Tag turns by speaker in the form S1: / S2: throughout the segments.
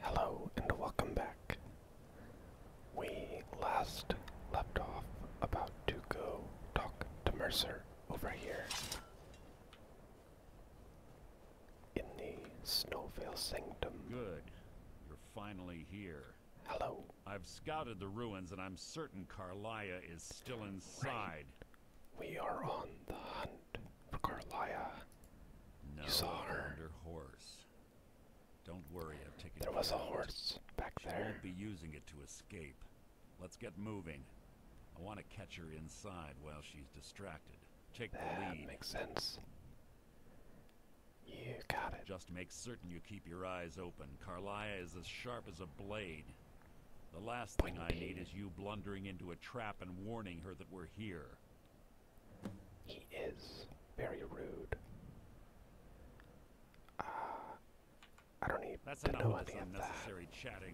S1: Hello and welcome back. We last left off about to go talk to Mercer over here in the Snowvale Sanctum. Good.
S2: You're finally here. Hello. I've scouted the ruins and I'm certain Carlia is still inside.
S1: We are on the hunt for
S2: Carlia. No, you saw her. horse. Don't worry, I've taken. There was a horse back she there. will be using it to escape. Let's get moving. I want to catch her inside while she's distracted. Take the lead. That makes sense.
S1: You got
S2: it. Just make certain you keep your eyes open. Carlia is as sharp as a blade. The last thing I need is you blundering into a trap and warning her that we're here.
S1: He is very rude. Uh, I don't need That's to know any of that.
S2: Chatting.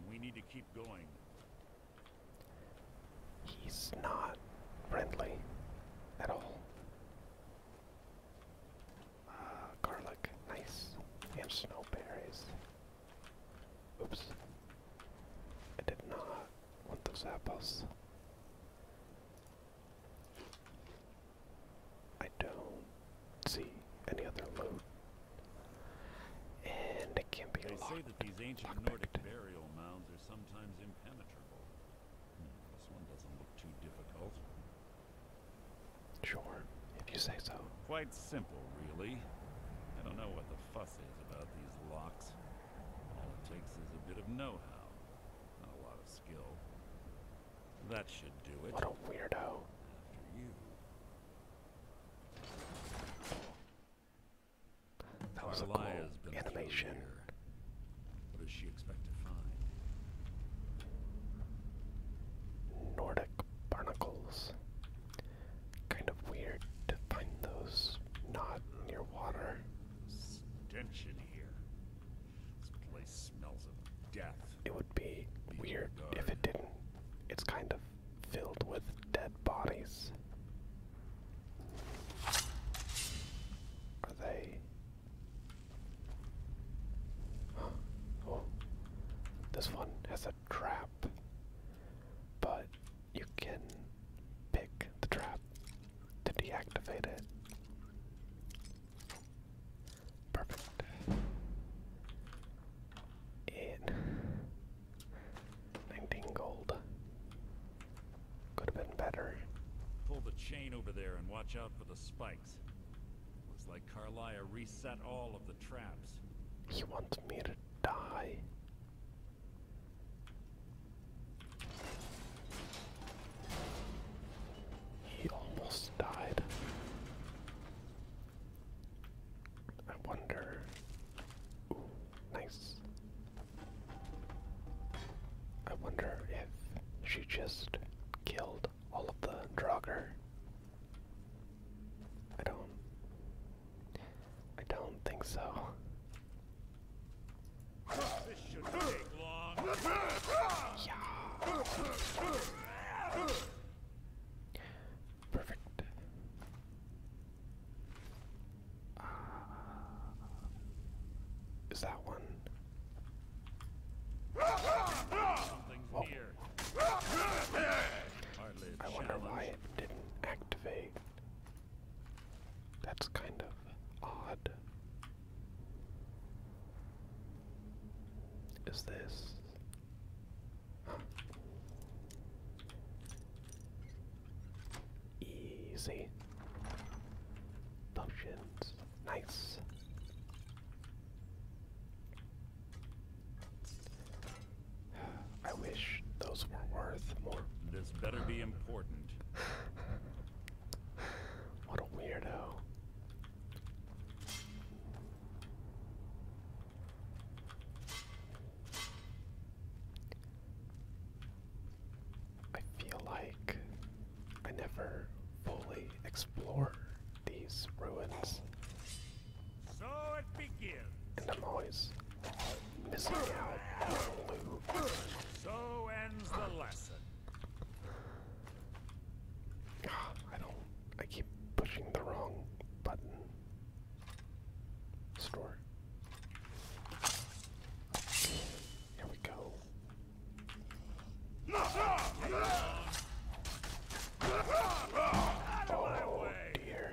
S2: He's not
S1: friendly at all. Uh, garlic, nice, and snow Oops, I did not want those apples. I don't see any other loot. And it can be locked. They say that these ancient Nordic
S2: burial mounds are sometimes impenetrable. Hmm, this one doesn't look too difficult. Sure, if you say so. Quite simple, really. I don't know what the fuss is about these locks. All it takes is a bit of know-how, not a lot of skill. That should do it. What a weirdo.
S1: That was a cool animation.
S2: What does she expect to find?
S1: Nordic barnacles. Kind of weird to find those not near water. This place smells of death. It would be weird if it didn't. It's kind of filled with dead bodies. Are they? Oh, this one has a trap, but you can pick the trap to deactivate it. Perfect.
S2: And gold. Could have been better. Pull the chain over there and watch out for the spikes. Looks like Carlia reset all of the traps.
S1: He wants me to die. He almost died. I wonder. Ooh, nice. I wonder if she just killed all of the Draugr. I don't. I don't think so. Perfect. Uh, is that one? Something's oh. I wonder why it didn't activate. That's kind of odd. Is this? Easy. Potions. Nice. I wish those were worth more.
S2: This better be important. what a weirdo.
S1: I feel like I never fully explore these ruins. And I'm always
S2: so ends the lesson.
S1: I don't. I keep pushing the wrong button. Store. Here we go. Oh dear.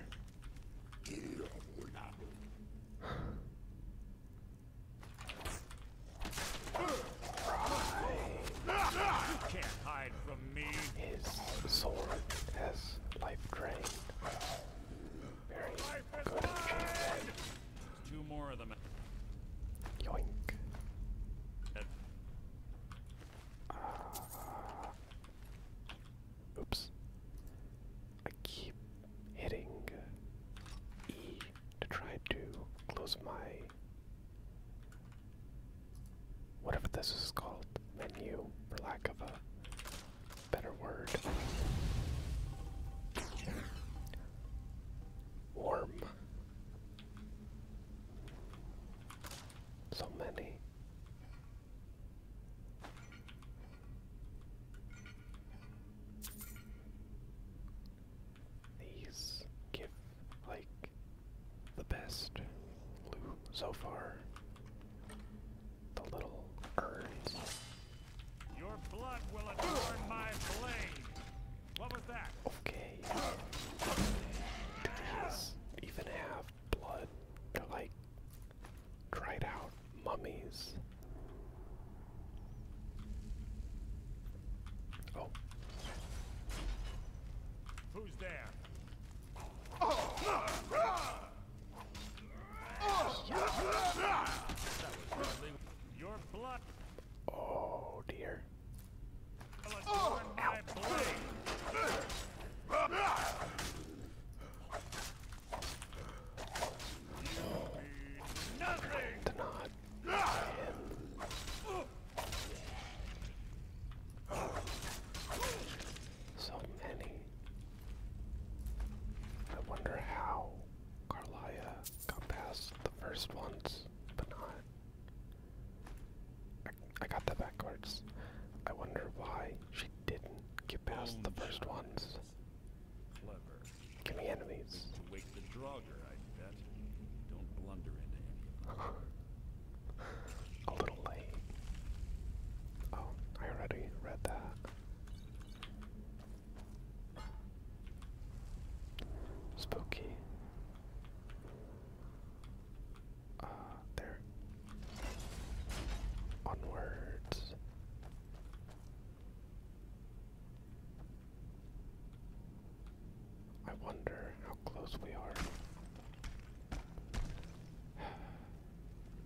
S1: His sword has life drained.
S2: Very life good achievement. Two more of them. Yoink. Uh,
S1: Oops. I keep hitting E to try to close my whatever this is called menu, for lack of a better word. Warm. So many. These give like the best
S2: loot so far. The little urns. Your blood will adorn my blade. What was that? Okay. Do even have blood? like dried out mummies. Oh. Who's there? Oh
S1: dear. Oh, so many. I wonder how Carlia got past the first ones, but not. I got that backwards. I wonder why she didn't get past the first ones. Give me enemies. To wake the Draugr, I bet. A little late. Oh, I already read that. Spooky. Uh, there. Onwards. I wonder how close we are.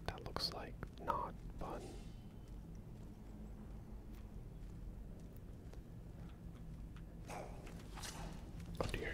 S1: That looks like not fun. Oh dear.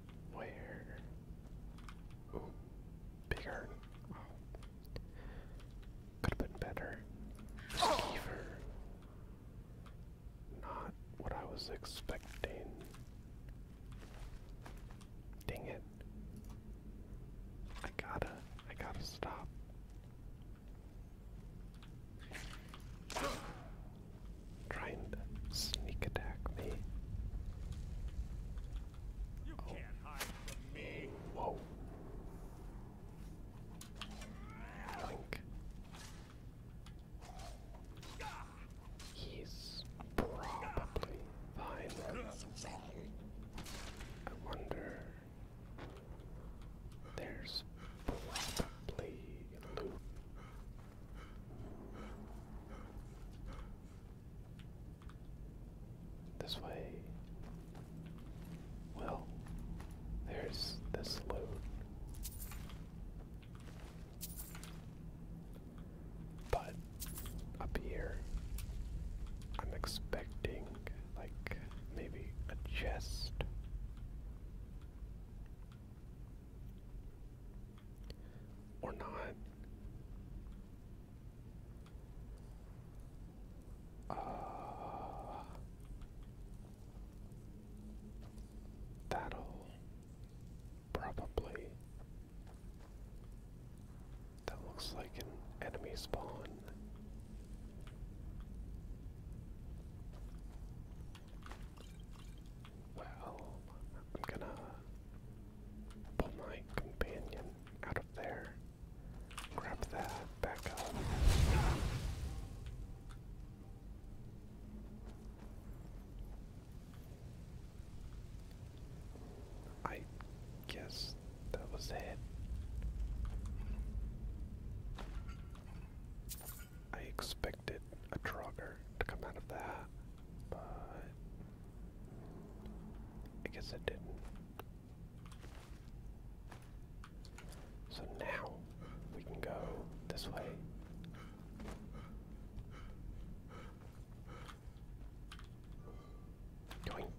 S1: Where? Ooh, big earn. Could have been better. Fever. Not what I was expecting. Dang it. I gotta, I gotta stop
S2: trying to sneak attack me. You oh. can't hide from me. Whoa. Blink. He's
S1: probably fine. I wonder. There's probably loot this way. Well, there's this load. But up here, I'm expecting, like, maybe a chest. Or not. Uh, that'll probably. That looks like an enemy spawn. Well, I'm gonna pull my companion out of there. Grab that back up. I guess that was it. I expected a Trogger to come out of that, but I guess it didn't. So now we can go this way. Doink.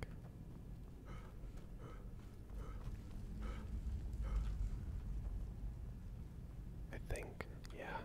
S1: I think, yeah.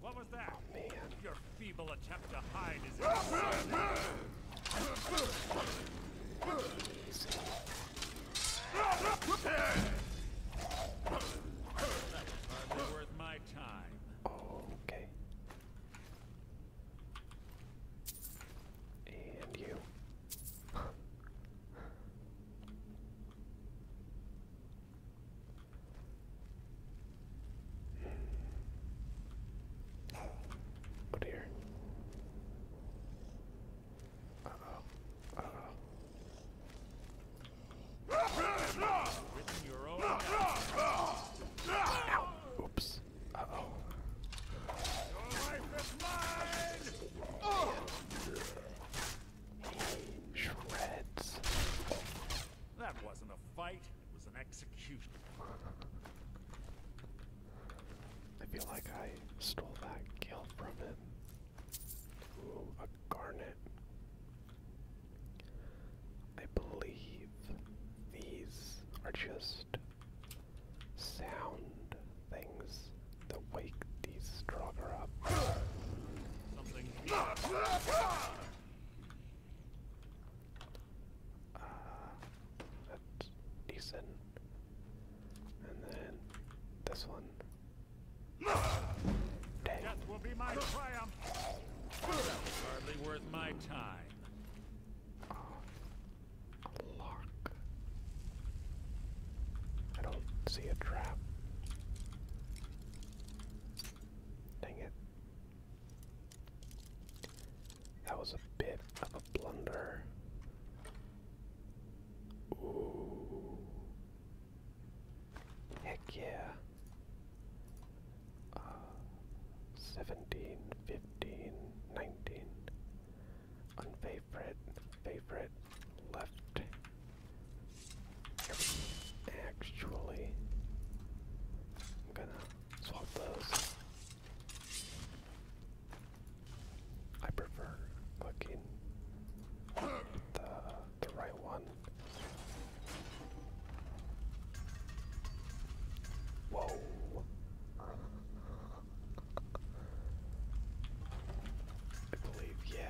S2: What was that? Your feeble attempt to hide is worth
S1: Okay. And you. Oh dear. Uh oh. Uh oh. Ow. Oops. Uh oh. Your life
S2: is mine! Oh. Shreds. That wasn't a fight, it was an execution.
S1: I feel like I stole that kill from him. Ooh, a garnet. I believe these are just sound things wake these stronger up. Something. Uh, that's decent. And then this one. Death will be my triumph.
S2: hardly worth my time. Oh,
S1: lock. I don't see a trap. Dang it. That was a bit of a blunder. Ooh. Heck yeah. Uh, 17, Unfavorite, favorite, left, Actually, I'm gonna swap those. I prefer clicking the the right one. Whoa. I believe, yeah.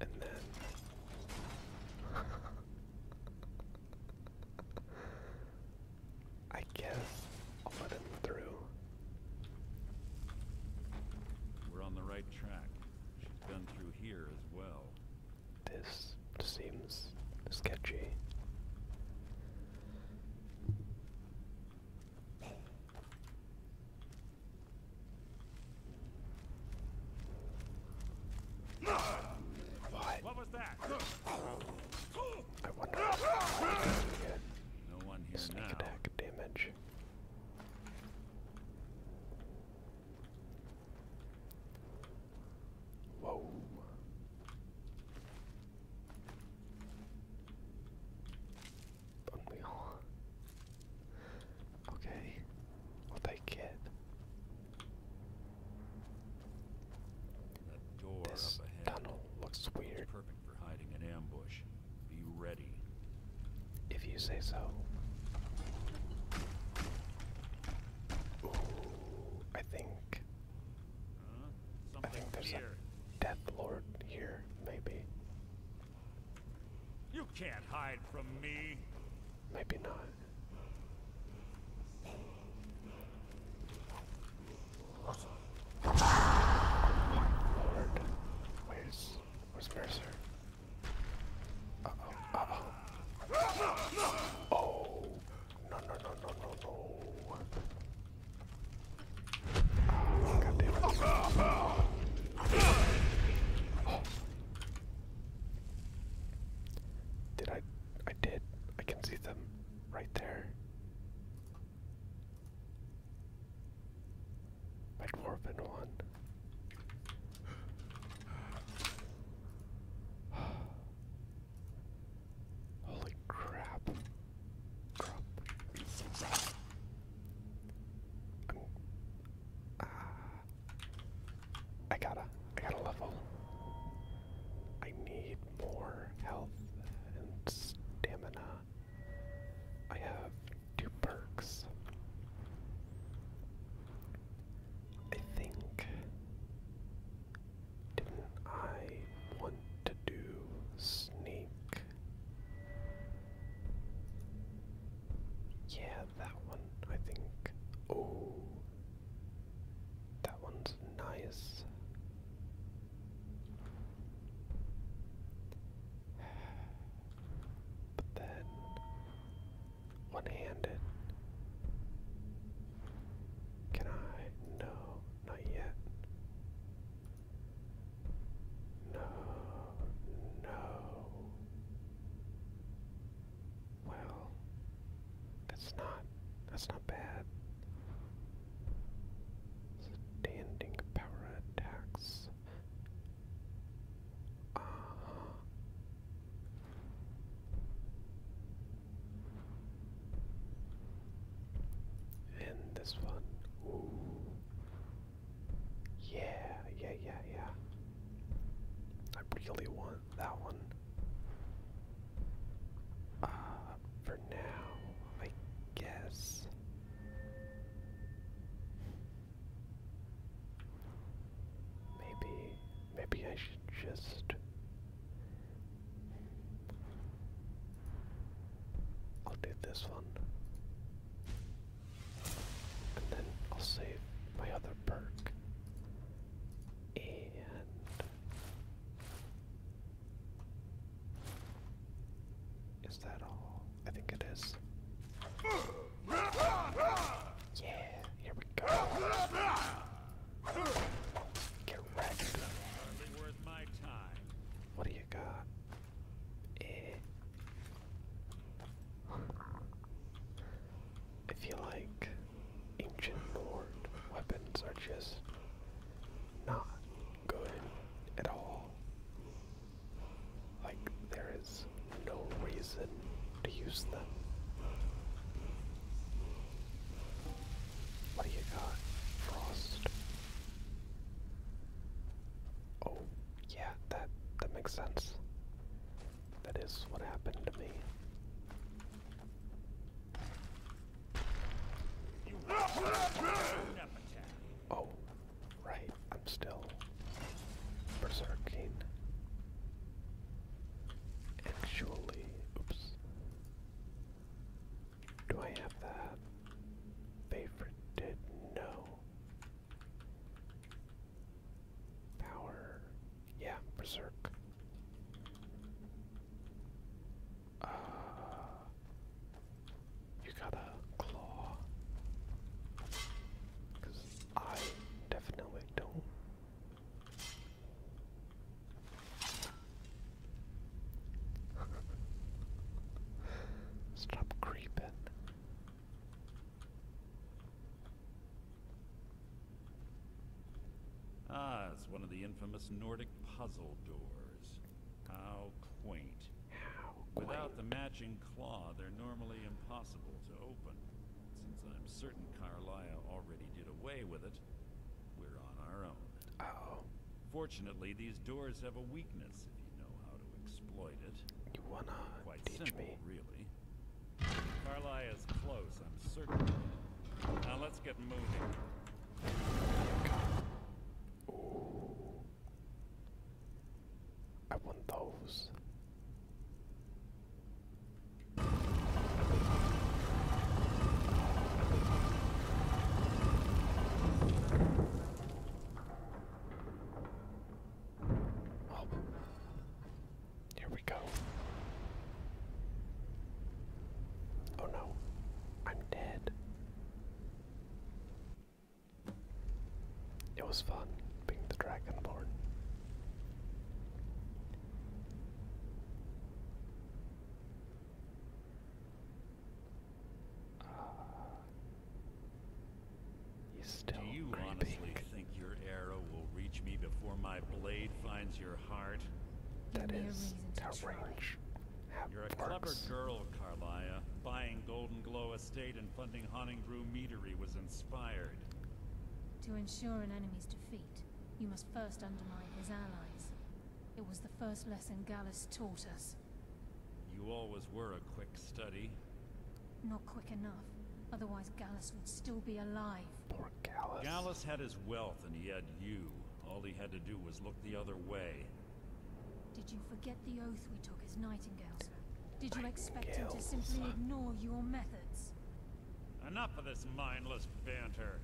S1: And then I guess I'll let him through.
S2: We're on the right track. She's been through here as well.
S1: This seems sketchy. What? What was that?
S2: I wonder. No one here Sneak now. attack
S1: damage. Whoa. Unreal. Okay, I'll That door this up ahead tunnel looks weird. It's
S2: perfect for hiding an ambush. Be ready. If you say so.
S1: Ooh, I think. I think there's Death Lord here, maybe. You can't hide from me. Maybe not. Lord, where's where's Mercer? Oh, no, no, no, no, no, no. Did I? I did. I can see them right there. Like four and one. Holy Crap. i gotta, I gotta level. I need more health and stamina. I have two perks. I think. Didn't I want to do sneak? Yeah, that one, I think. Oh, that one's nice. But then, one handed. Can I? No, not yet. No, no. Well, that's not that's not bad. Standing power attacks. Uh And this one. Yeah, yeah, yeah, yeah. I really want that one. Uh, for now, I guess. Maybe, maybe I should just. I'll do this one. And then I'll save my other perk. And is that all? I think it is. Yeah, here we go. Get wrecked.
S2: What do you got? Eh,
S1: I feel like ancient Nord weapons are just not good at all. Like, there is no reason to use them. What do you got? Frost. Oh, yeah, that that makes sense. That is what happened to me. Oh, right. I'm still berserking. Actually, oops. Do I have that? Favorite no. Power. Yeah, berserk. Uh, you got a claw. Because I definitely don't. Stop creeping.
S2: Ah, it's one of the infamous Nordic puzzle doors. How quaint. Without the matching claw, they're normally impossible to open. Since I'm certain Carlia already did away with it, we're on our own. oh. Fortunately, these doors have a weakness you wanna Quite teach simple, me? Really. Carly is close, I'm certain. Now let's get moving.
S1: I want those. Oh. Here we go. Oh no, I'm dead. It was fun being the Dragonborn. Uh,
S2: Do you honestly think your arrow will reach me before my blade finds your heart? That is
S1: you is how range
S2: You're a clever girl, Carlia. Buying Golden Glow Estate and funding Haunting Brew Meadery was inspired.
S3: To ensure an enemy's defeat, you must first undermine his allies. It was the first lesson Gallus taught us.
S2: You always were a quick study.
S3: Not quick enough. Otherwise Gallus would still be alive. Poor
S2: Gallus. Gallus had his wealth and he had you. All he had to do was look the other way.
S3: Did you forget the oath we took as nightingales? Did you expect him to simply ignore your methods?
S2: Enough of this mindless banter.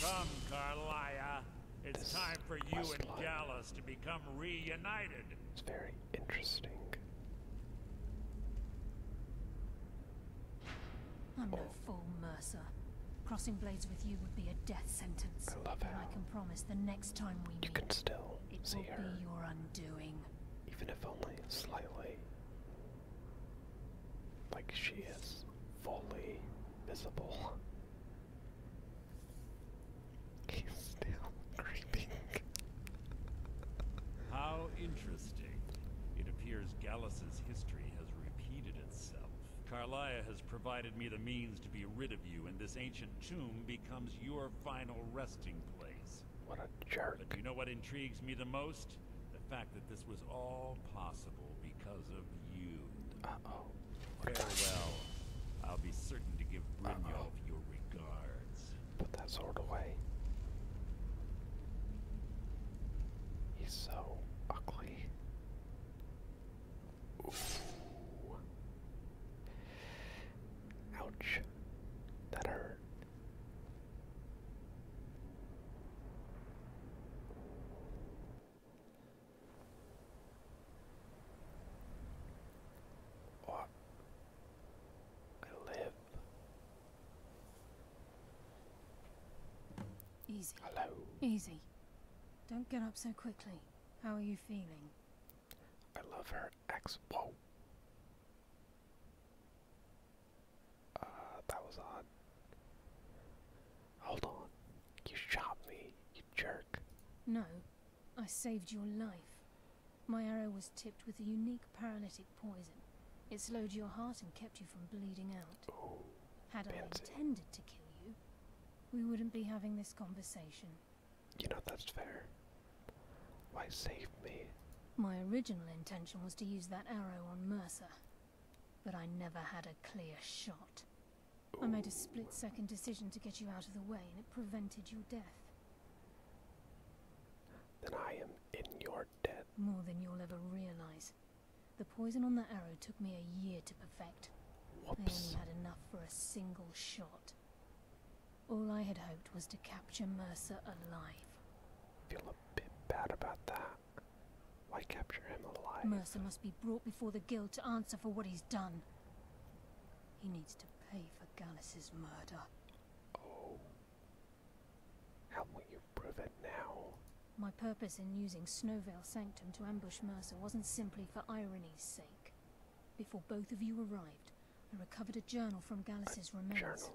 S2: Come, Carlia. It's time for you and line. to become reunited. It's
S1: very interesting.
S3: I'm no fool, Mercer. Crossing blades with you would be a death sentence. I love and I can promise the next time we you meet, can still it see her. be
S1: your undoing. Even if only slightly. Like she is fully visible still creeping.
S2: How interesting. It appears Gallus's history has repeated itself. Carlia has provided me the means to be rid of you, and this ancient tomb becomes your final resting place. What a jerk. But you know what intrigues me the most? The fact that this was all possible because of you. Uh oh. What I'll be certain to give Brynjolf your regards. Put that sword away.
S1: He's so ugly. Ooh. Ouch. That hurt.
S3: I live. Easy. Hello. Easy. Don't get up so quickly. How are you feeling?
S1: I love her ex. Whoa. Uh, that was odd. Hold on. You shot me, you jerk.
S3: No, I saved your life. My arrow was tipped with a unique paralytic poison. It slowed your heart and kept you from bleeding out. Had I intended to kill you, we wouldn't be having this conversation.
S1: You know, that's fair. Why save me?
S3: My original intention was to use that arrow on Mercer, but I never had a clear shot. I made a split-second decision to get you out of the way, and it prevented your death.
S1: Then I am in your debt.
S3: More than you'll ever realize. The poison on that arrow took me a year to perfect. I only had enough for a single shot. All I had hoped was to capture Mercer alive. Feel a bit
S1: bad about that. Why capture him alive?
S3: Mercer must be brought before the guild to answer for what he's done. He needs to pay for Gallus's murder. Oh. How will you prove it now? My purpose in using Snowvale Sanctum to ambush Mercer wasn't simply for irony's sake. Before both of you arrived, I recovered a journal from Gallus's remains. Journal.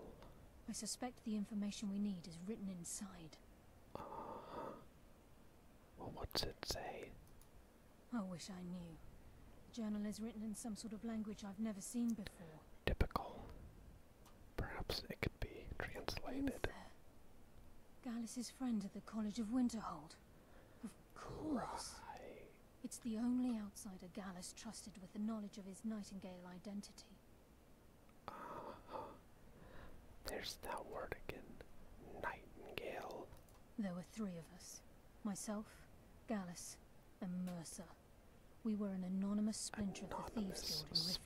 S3: I suspect the information we need is written inside. Uh -huh.
S1: Well, it say?
S3: I wish I knew. The journal is written in some sort of language I've never seen before. Typical.
S1: Perhaps it could be translated.
S3: Gallus's friend at the College of Winterhold. Of course. It's the only outsider Gallus trusted with the knowledge of his Nightingale identity.
S1: Uh There's that word again. Nightingale.
S3: There were three of us. Myself, Gallus, and Mercer. We were an anonymous splinter of the Thieves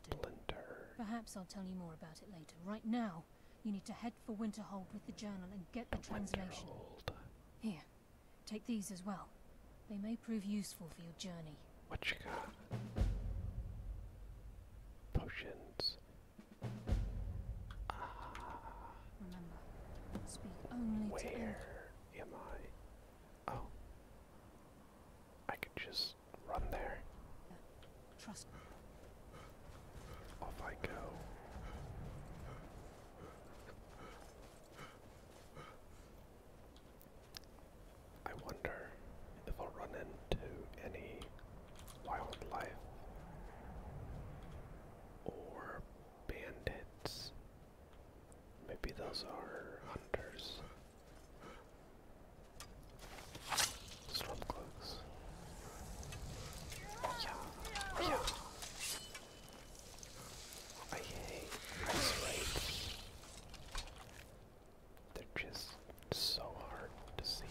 S3: Guild in Riften. Perhaps I'll tell you more about it later. Right now, you need to head for Winterhold with the journal and get the translation. Here, take these as well. They may prove useful for your journey. What
S1: you got? Potions. Where am I? Oh. I could just run there. Off I go. I wonder if I'll run into any wildlife, or bandits. Maybe those are hunters. Stormcloaks. Yeah, yeah. I hate ice raids. They're just so hard to see.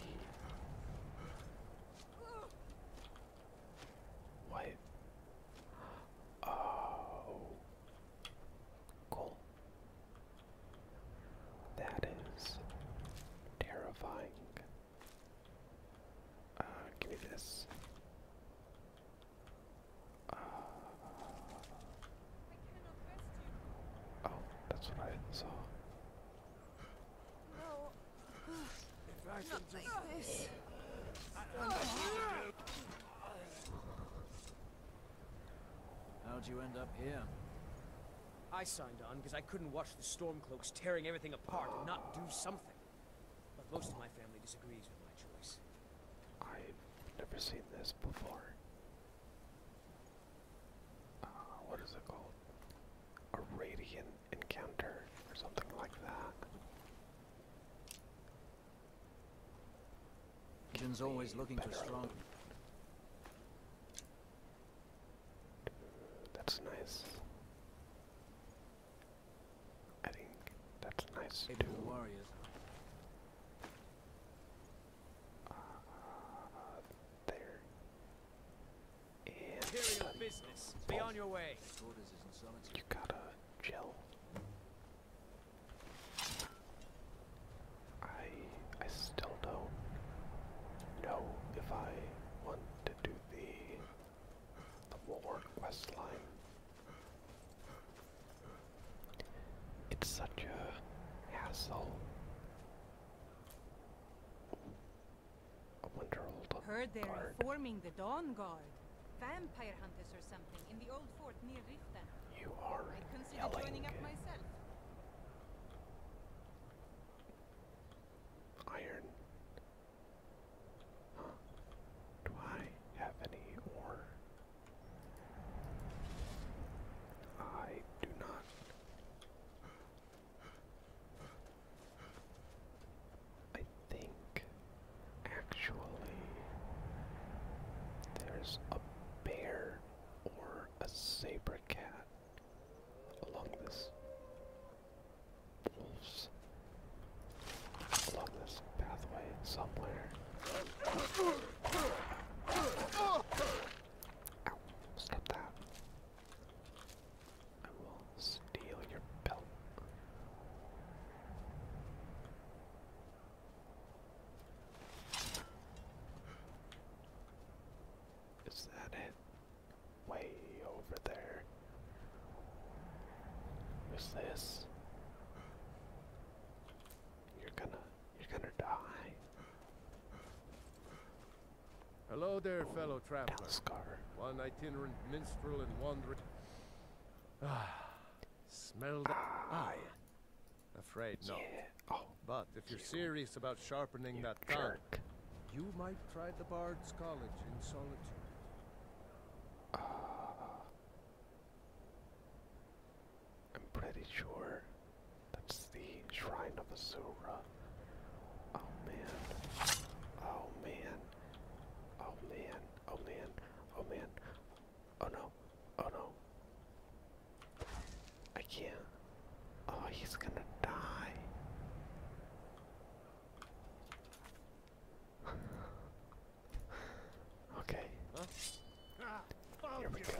S1: What? Oh. Cool. That is terrifying. Uh, give me this. Uh. oh, that's what I saw.
S4: No,
S5: How'd you end up here? I signed on because I couldn't watch the Stormcloaks tearing everything apart and not do something. But most of my family disagrees with my choice.
S1: I've never seen this before. Uh, what is it called? A Radiant encounter or something like that.
S5: Ken's always looking too strong.
S1: That's nice. I think that's nice uh, there. Be on your way. You gotta gel. I I still don't know if I want to do the the war quest line. It's such a hassle Heard they're guard.
S6: reforming the Dawn Guard. Vampire hunters or something in the old fort near Riften. You are I'd consider joining up myself.
S1: Iron. Do I have any ore? I do not. I think actually there's a bear or a saber cat along this wolves along this pathway somewhere. stop that. I will steal your belt. Is that it? Way over there. Who's this? You're gonna you're gonna die. Hello there, fellow traveler. One itinerant
S6: minstrel and wanderer. Ah, smell that. I. Afraid yeah. no. Oh, but if you're serious about sharpening that jerk. tongue, you might try the Bard's College in solitude. Ah. I'm pretty sure that's the Shrine of Azura. Oh man. Oh man.
S1: Oh man. Oh man. Oh man. Oh no. Oh no. I can't. Oh, he's gonna die. okay. Here we go.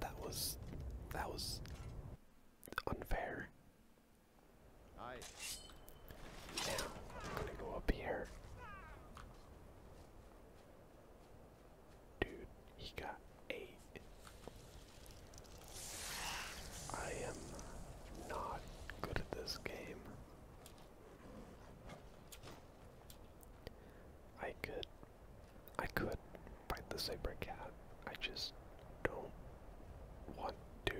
S1: That was that was unfair. I'm gonna go up here. Dude, he got eight. I am not good at this game. I could I could fight the Saber Cat. I just don't want to.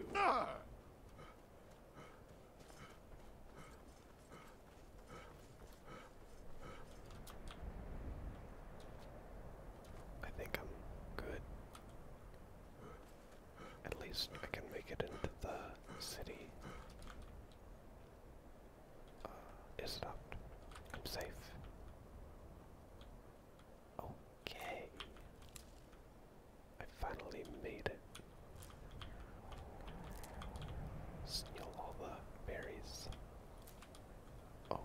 S1: I think I'm good. At least I can make it into the city uh, locked. I'm safe. Okay. I finally made it. Steal all the berries. Oh.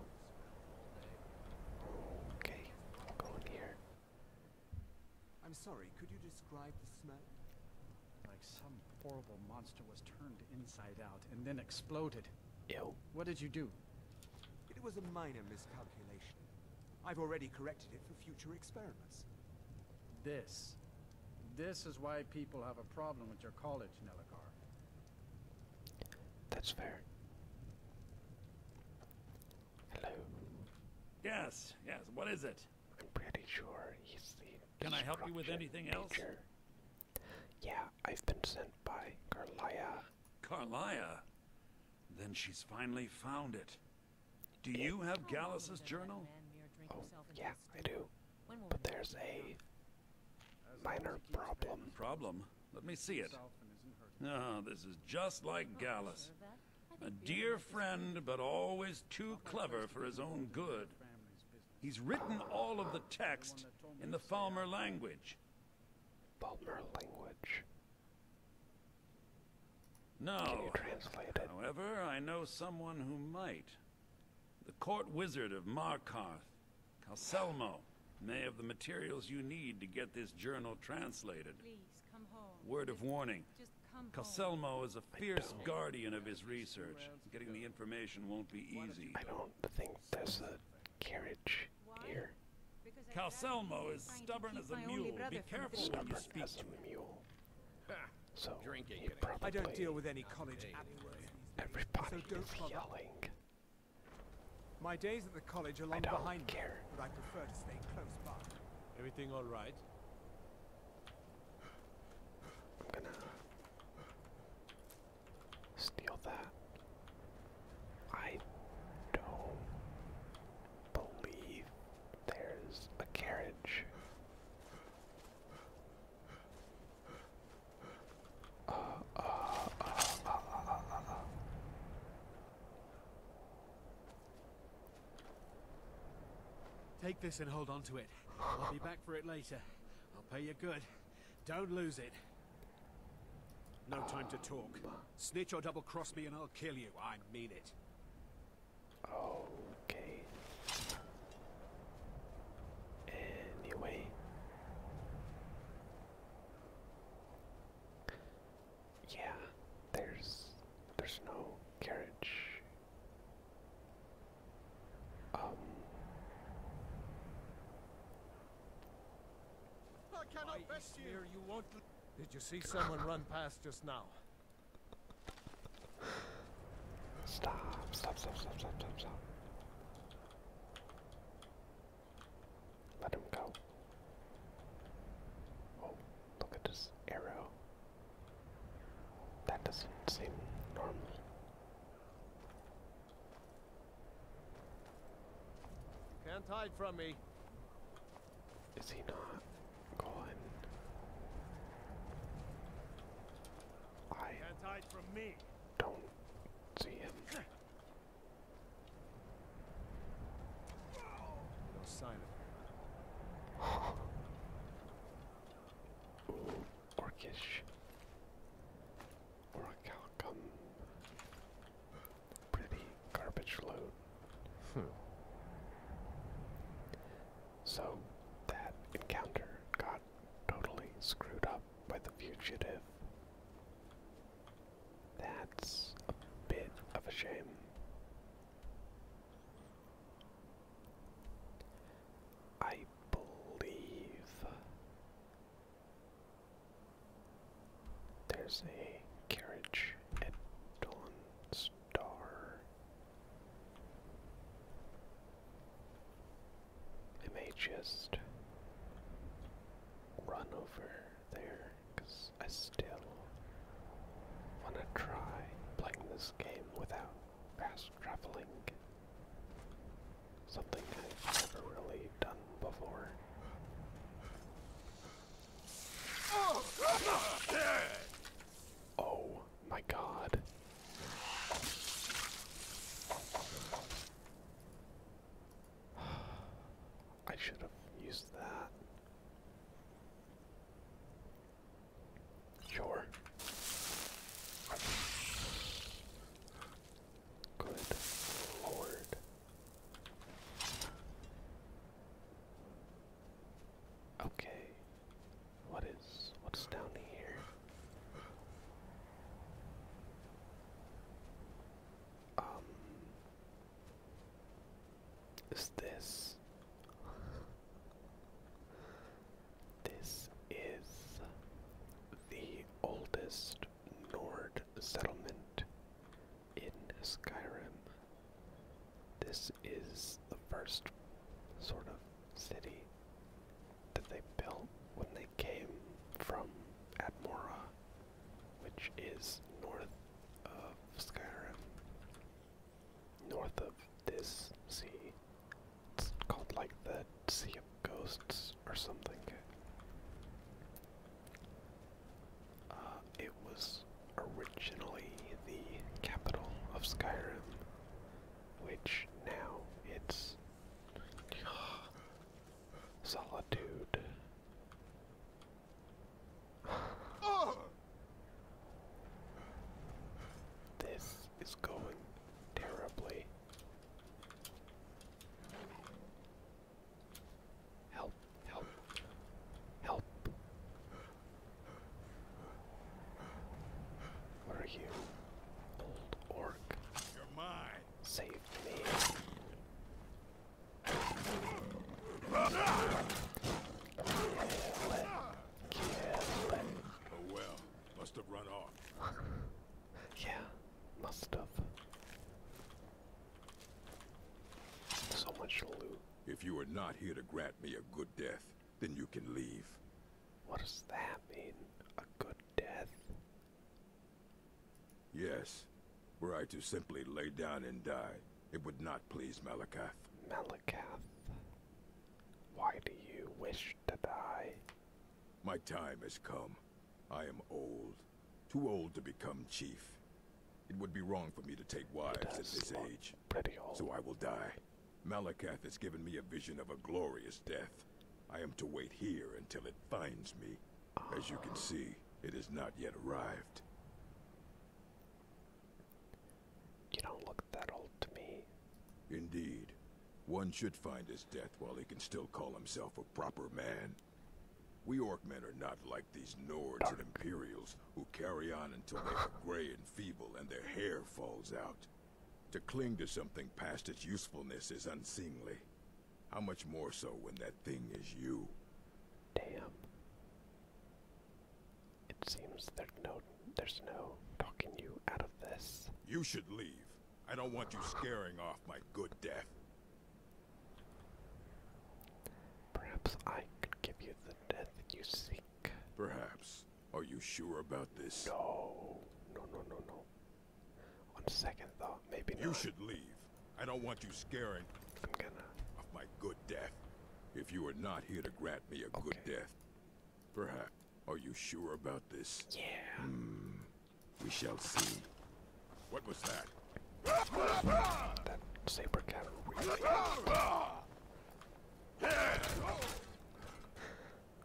S1: Okay, i here.
S6: I'm sorry, could you describe the smell?
S1: Like some horrible monster was turned inside out and then exploded. Ew.
S6: What did you do? It was a minor miscalculation. I've already corrected it for future experiments. This. This is why people have a
S1: problem with your college, Neligar. That's fair.
S2: Hello. Yes, yes, what is it?
S1: I'm pretty sure he's the
S2: Can I help you with anything else?
S1: Yeah, I've been sent by Carlia.
S2: Carlia? Then she's finally found it. Do you have Gallus's journal?
S1: Oh, yeah, I do. But there's a
S2: minor problem. Problem? Let me see it. Ah, this is just like Gallus. A dear friend, but always too clever for his own good. He's written all of the text in the Falmer language. Falmer language. No. Can you translate it? However, I know someone who might. The court wizard of Markarth, Calselmo, may have the materials you need to get this journal translated. Please come home. Word of warning. Calselmo is a fierce guardian of his research. Getting the information
S1: won't be easy. I don't think there's a carriage here. Calselmo is stubborn as a mule. Be careful stubborn as a mule. So drinking. I don't deal with any college adults.
S6: Everybody yelling. My days at the college are long behind me, but I prefer to stay close by. Everything all right?
S1: I'm gonna Steal that. I don't believe there's a carriage.
S5: Uh, uh, uh, Take this and hold on to
S6: it. I'll be back for it later. I'll pay you good. Don't lose it. No time to talk. Snitch or double cross me and I'll kill you. I mean it.
S1: Okay. Anyway. Yeah, there's there's no carriage.
S4: I cannot best you. you won't.
S1: Did you see someone run past just now? stop, stop, stop, stop, stop, stop. Let him go. Oh, look at this arrow. That doesn't seem normal. Can't hide from me. Is he not going? I can't hide from me. Don't see him. No sign of him. Ooh, orcish or a calcum. Pretty garbage load. Hmm. So that encounter got totally screwed up by the fugitive. That's a bit of a shame. I believe there's a carriage at Dawn Star. I may just run over there because I still want to try playing this game without fast traveling Something I've never really done before. Oh my god. I should have used that. Sure. Good lord. Okay. What is what's down here? Um is this this is the oldest Nord settlement in Skyrim. This is the first sort of city that they built when they came from Admora, which is north of Skyrim, north of this sea. It's called like the Sea of Ghosts or something. Uh, it was originally the capital of Skyrim, which now it's solitude. this is going terribly. Help, help,
S6: help. Where are you? Old orc. You're mine.
S1: Save me. Oh,
S5: well, must have run off. Yeah, must have. So much loot. If you are not here to grant me a good death, then you can leave. What does that mean? A good death? Yes. Were I to simply lay down and die, it would not please Malakath. Malakath? Why do you wish to die? My time has come. I am old. Too old to become chief. It would be wrong for me to take wives at this age. So I will die. Malakath has given me a vision of a glorious death. I am to wait here until it finds me. As you can ah. see, it has not yet arrived. You don't look that old to me. Indeed. One should find his death while he can still call himself a proper man. We Orkmen are not like these Nords and Imperials who carry on until they are gray and feeble and their hair falls out. To cling to something past its usefulness is unseemly. How much more so when that thing is you? Damn. It seems there's no, there's no talking you out of this. You should leave. I don't want you scaring off my good death. Perhaps I could give you the death you seek. Perhaps. Are you sure about this? No. No, no, no, no. On second thought, maybe you not. You should leave. I don't want you scaring I'm gonna... of my good death. If you are not here to grant me a okay. good death, perhaps. Are you sure about this? Yeah. Mm, we shall see. What was that?
S1: That
S5: saber cat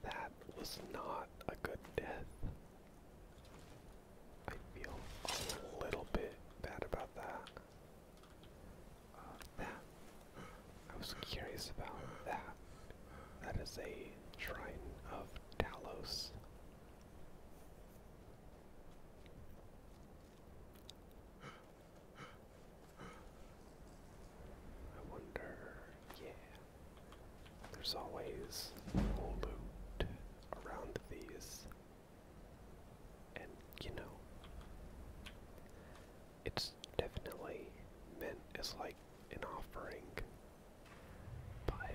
S1: that was not a good death. I feel a little bit bad about that. Uh, that. I was curious about that. That is a shrine of Talos. I wonder, yeah. There's always loot around these. And, you know, it's definitely meant as like an offering but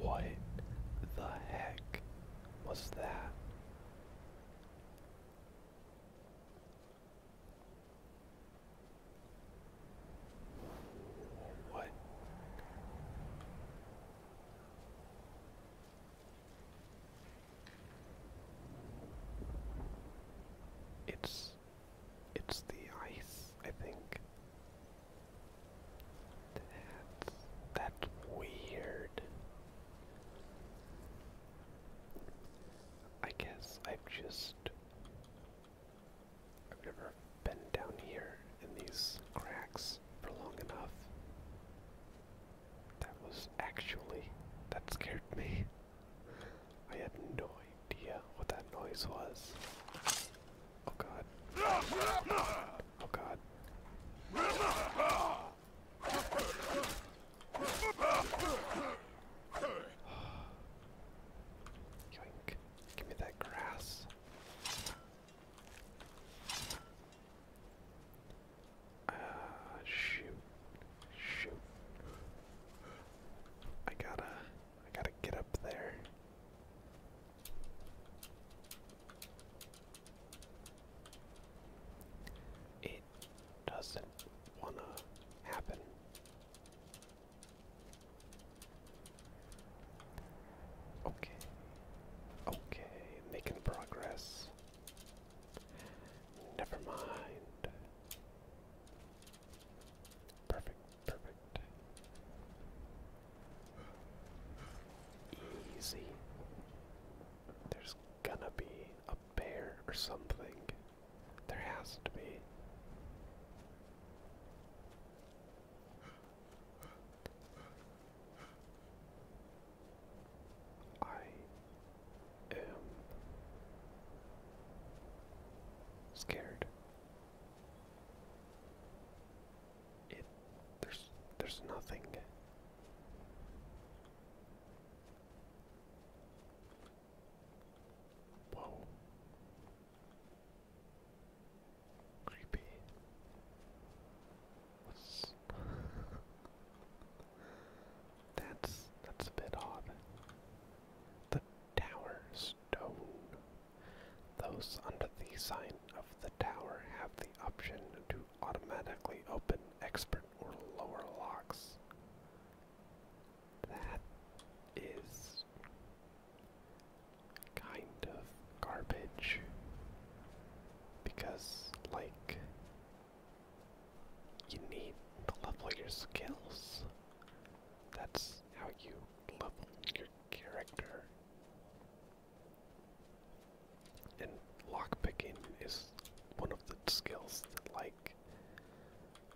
S1: what the heck was that? What? It's it's the ice, I think. That's that's weird. I guess I've just I've never been down here in these cracks for long enough. That was actually that scared me. I had no idea what that noise was. Oh god. Oh god. Give me that grass. Uh, shoot. Shoot. I gotta I gotta get up there. It doesn't wanna happen. Okay. Okay, making progress. Never mind. Perfect, perfect. Easy. There's gonna be a bear or something. There has to be. I am scared. It there's there's nothing. Whoa. Creepy. What's that's that's a bit odd. The tower stone. Those under the sign of the tower have the option to automatically open expert or lower locks. That is kind of garbage because like you need to level your skills. That's how you level your character. And lock picking is one of the skills that, like,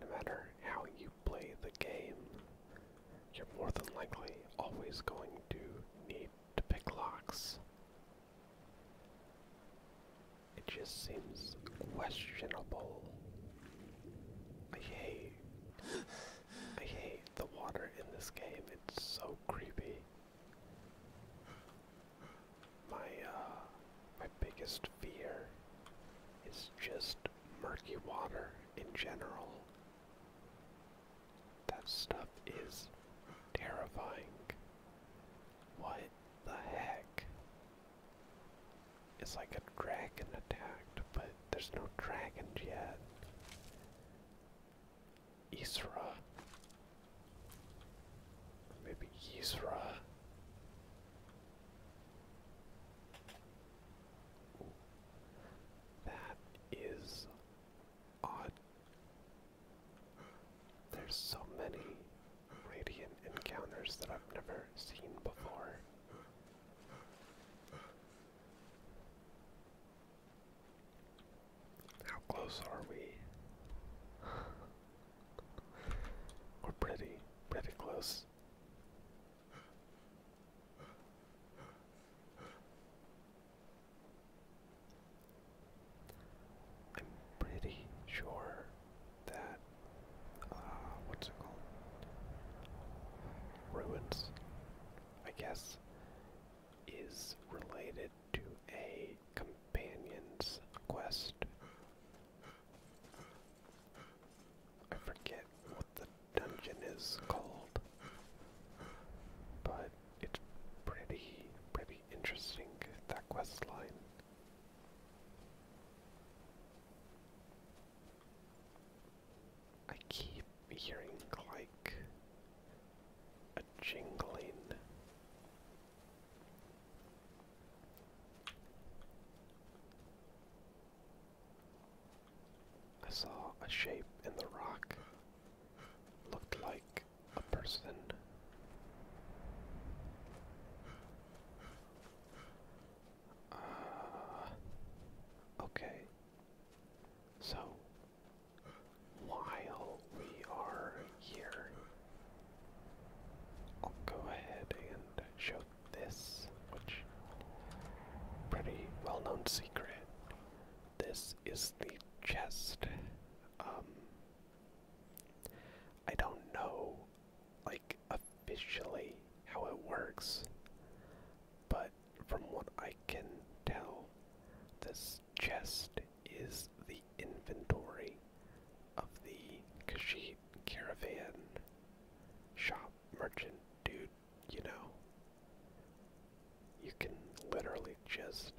S1: no matter how you play the game, you're more than likely always going to need to pick locks. It just seems questionable. I hate, I hate the water in this game. It's so creepy. My uh, my biggest fear is just murky water in general. That stuff is terrifying. What the heck? It's like a dragon attacked, but there's no dragons yet. Isra. Maybe Isra. That is odd. There's so many radiant encounters that I've never seen before. How close are we? We're pretty, pretty close. I'm pretty sure that uh, what's it called? Ruins, I guess, is related to a companion's quest. I forget what the dungeon is called, but it's pretty, pretty interesting, that quest line. I keep hearing like a jingling. I saw a shape in the rock. Looked like a person. Uh, okay. So, while we are here, I'll go ahead and show this, which pretty well-known secret. This is the chest. Um, I don't know like officially how it works, but from what I can tell, this chest is the inventory of the Kashid caravan shop merchant dude, you know. You can literally just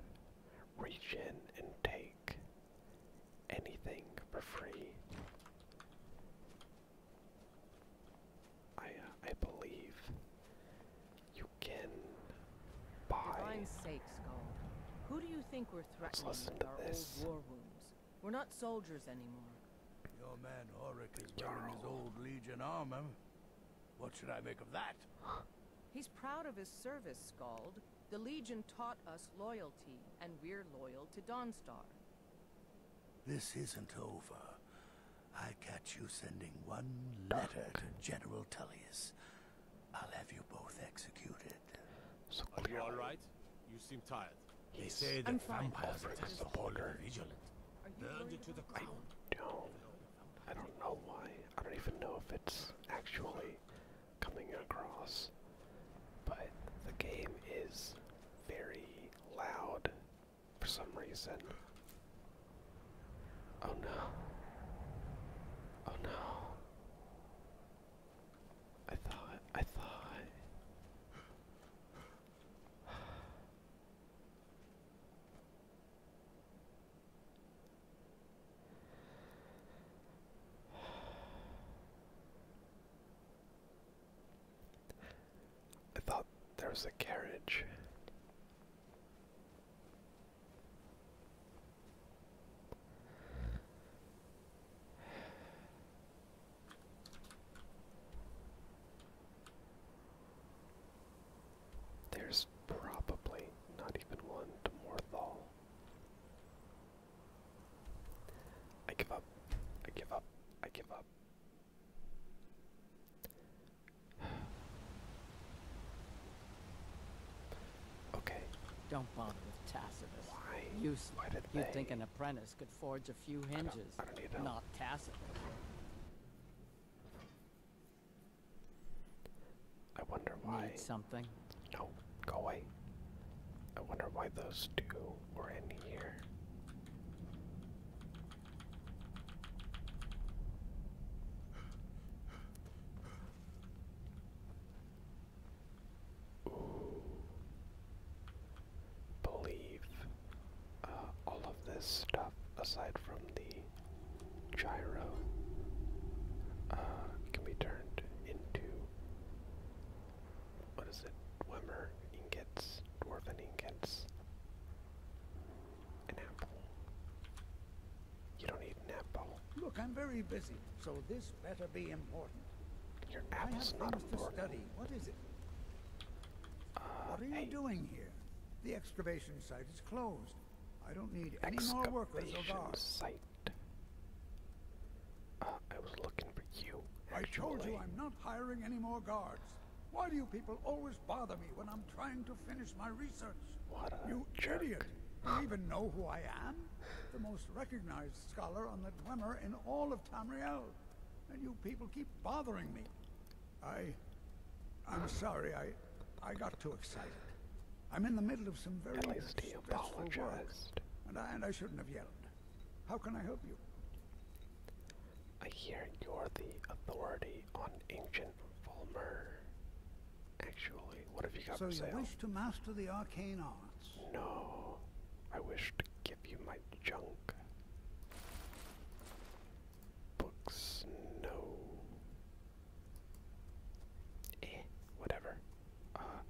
S1: reach in and take anything for free. I uh, I believe you can
S3: buy. God's sake, Skull. Who do you think we're threatening our old war wounds? We're not soldiers anymore.
S6: Your man
S5: Oric is wearing his old Legion armor. What should I make of that?
S4: He's proud of his service, Scald. The Legion taught us loyalty, and we're
S5: loyal to Donstar.
S6: This isn't over. I catch you sending one letter to General Tullius. I'll have you both executed.
S1: Are you alright? You seem tired.
S6: They say that
S2: vampires
S1: are so border vigilant. Burned to the ground. I don't, I don't know why. I don't even know if it's actually coming across, but the game is very loud for some reason. Oh no. Oh no. I thought, I thought. I thought there was a carriage. There's probably not even one to Morthal. I give up. I give up. I give up.
S5: okay. Don't bother with Tacitus. Why? Why did You'd they? think an apprentice could forge a few hinges. not Tacitus.
S1: I wonder why. Need no, go away. I wonder why those two were in here. Ooh. Believe uh,
S6: all of this stuff, aside from the gyro, uh, can be turned into what is it? Wimmer ingots, dwarven ingots, an apple. You don't need an apple. Look, I'm very busy, so this better be important. Your apple's I have things to study. What is it? Uh, what are you doing here? The excavation site is closed. I don't need any more workers or Site. Uh, I was looking for you. I told you I'm not hiring any more guards. Why do you people always bother me when I'm trying to finish my research? What you idiot! You even know who I am? The most recognized scholar on the Dwemer in all of Tamriel. And you people keep bothering me. I... I'm sorry, I... I got too excited. I'm in the middle of some very At least he apologized. and, I, and I shouldn't have yelled. How can I help you? I
S1: hear you're the authority on ancient Volmer. Actually,
S6: what have you got so for sale? So you wish to master the arcane arts?
S1: No, I wish to give you my junk. Books, no. Eh, whatever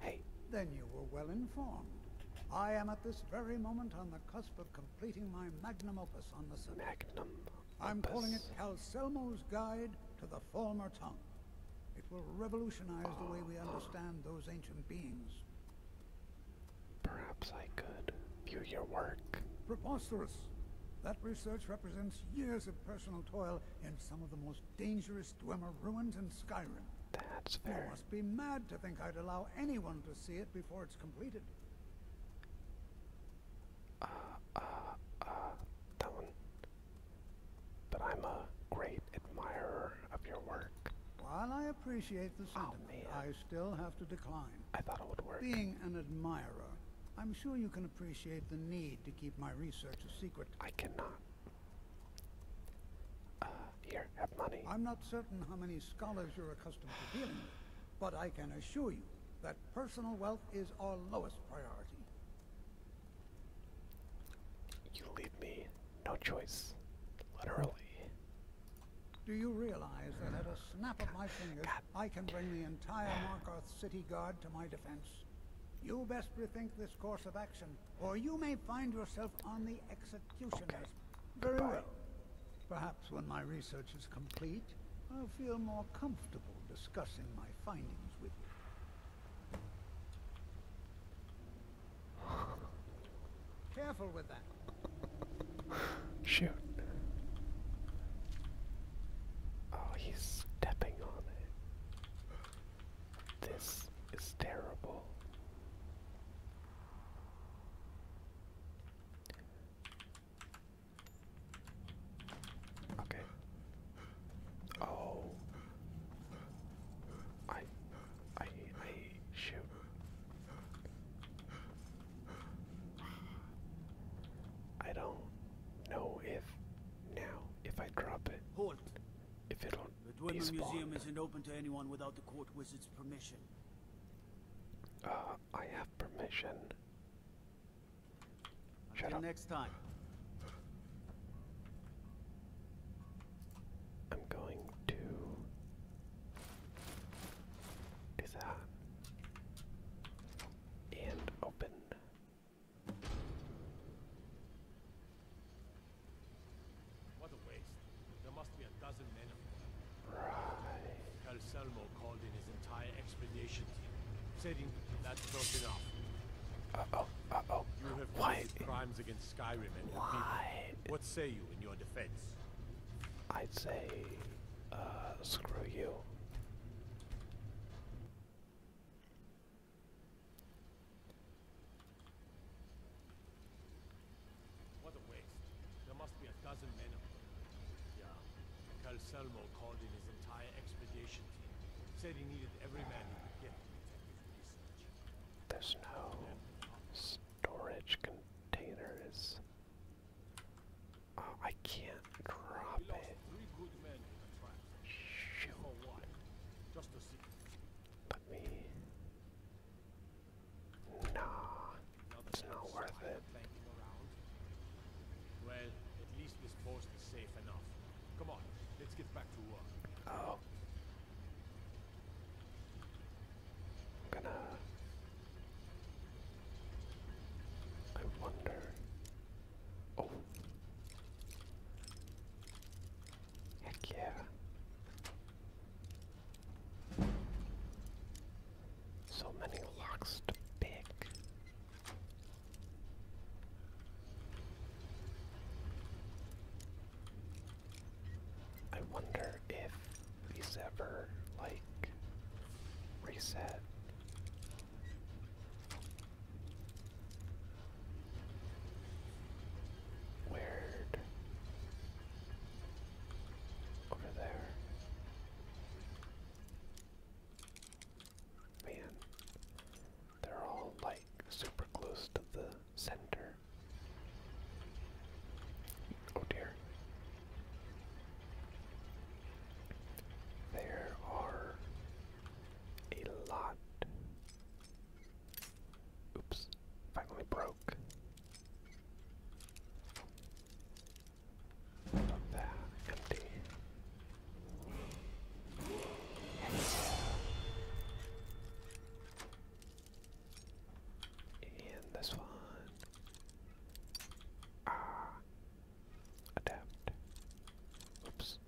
S6: hey. Then you were well informed. I am at this very moment on the cusp of completing my magnum opus on the subject. Magnum opus. I'm calling it Calcelmo's Guide to the Former Tongue. It will revolutionize the way we understand those ancient beings. Perhaps I could view your work. Preposterous. That research represents years of personal toil in some of the most dangerous Dwemer ruins in Skyrim. That's I must be mad to think I'd allow anyone to see it before it's completed. Uh, uh, uh,
S1: that one. But I'm a great admirer of
S6: your work. While I appreciate the oh, sentiment, I still have to decline. I thought it would work. Being an admirer, I'm sure you can appreciate the need to keep my research a secret. I cannot. Uh, here, have money. I'm not certain how many scholars you're accustomed to dealing with, but I can assure you that personal wealth is our lowest priority. You leave me no choice, literally. Do you realize that at a snap of my fingers, I can bring the entire Markarth city guard to my defense? You best rethink this course of action or you may find yourself on the executioner's. Very well. Perhaps when my research is complete, I'll feel more comfortable discussing my findings with you. Careful with that.
S1: Shoot. Oh, he's stepping on it. This is terrible. Okay. Oh. I I I shoot. I don't know if now if I drop it if it'll the Museum isn't open to anyone without the court wizard's permission. Uh, I have permission. Shut Until next time. I'm going to. Is that? And open.
S2: What a waste. There must be a dozen men of them.
S5: Right. Calselmo called in his entire expedition team, saying that's not enough.
S1: Uh-oh, uh-oh. You have committed crimes against Skyrim and Why? People. What say you in your defense? I'd say, uh, screw you.
S5: What a waste. There must be a dozen men of them. Yeah. Calselmo called in his entire expedition team. Said he needed every man he could get.
S1: There's no storage containers. Oh, uh, I can't drop we it. Three let
S5: it's not worth it. Well, at least this post is safe enough. Come on, let's get back to work. Oh. i
S1: I wonder. Oh. Heck yeah. So many locks to pick. I wonder if he's ever, like, reset. Weird. Over there. Man, they're all like super close to the center. Oh dear. There are a lot Oops, finally broke. That empty. And this one. Ah. Adapt. Oops.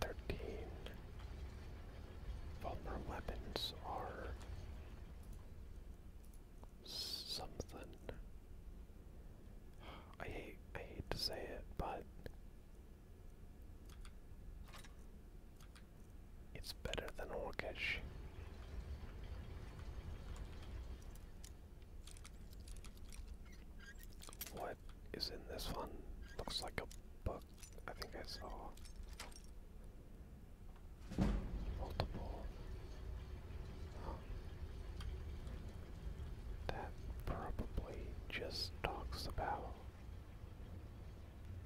S1: Thirteen. Vulnerable weapons are something. I hate I hate to say it, but it's better than Orcish. What is in this one? Looks like a book. I think I saw multiple. That probably just talks about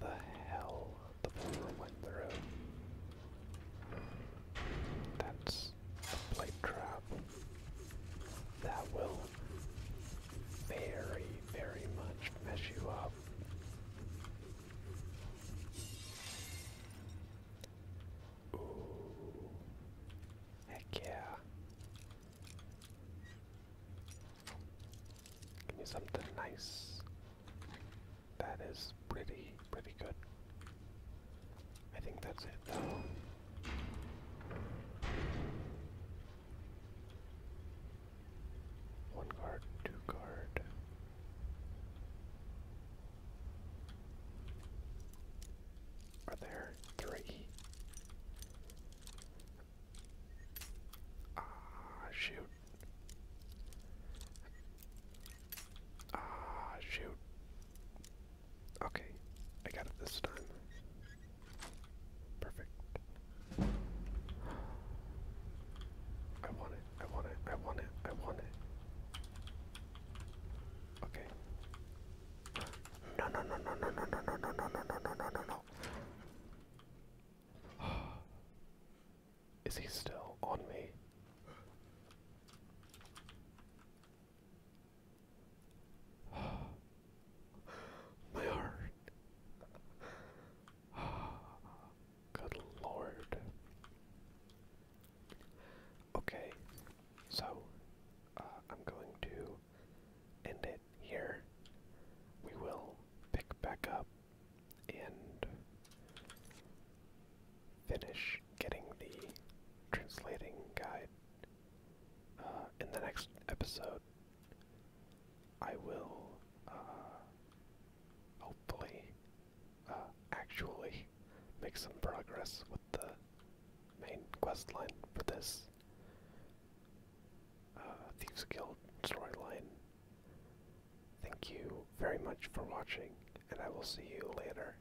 S1: the hell the bomber went through. That's this plate trap that will very, very much mess you up. Ooh. Heck yeah. Give me something nice. That is pretty, pretty good. I think that's it, though. One card, two card. Are there three? Ah, shoot. Ah, shoot. Okay, I got it this time. Perfect. I want it, I want it, I want it, I want it. Okay. No, no, no, no, no, no, no, no, no, no, no, no, no, no, Is he still on me? My heart. Good lord. Okay, so uh, I'm going to end it here. We will pick back up and finish getting the translating guide uh, in the next episode, I will uh, hopefully uh, actually make some progress with the main quest line for this Thieves Guild storyline. Thank you very much for watching, and I will see you later.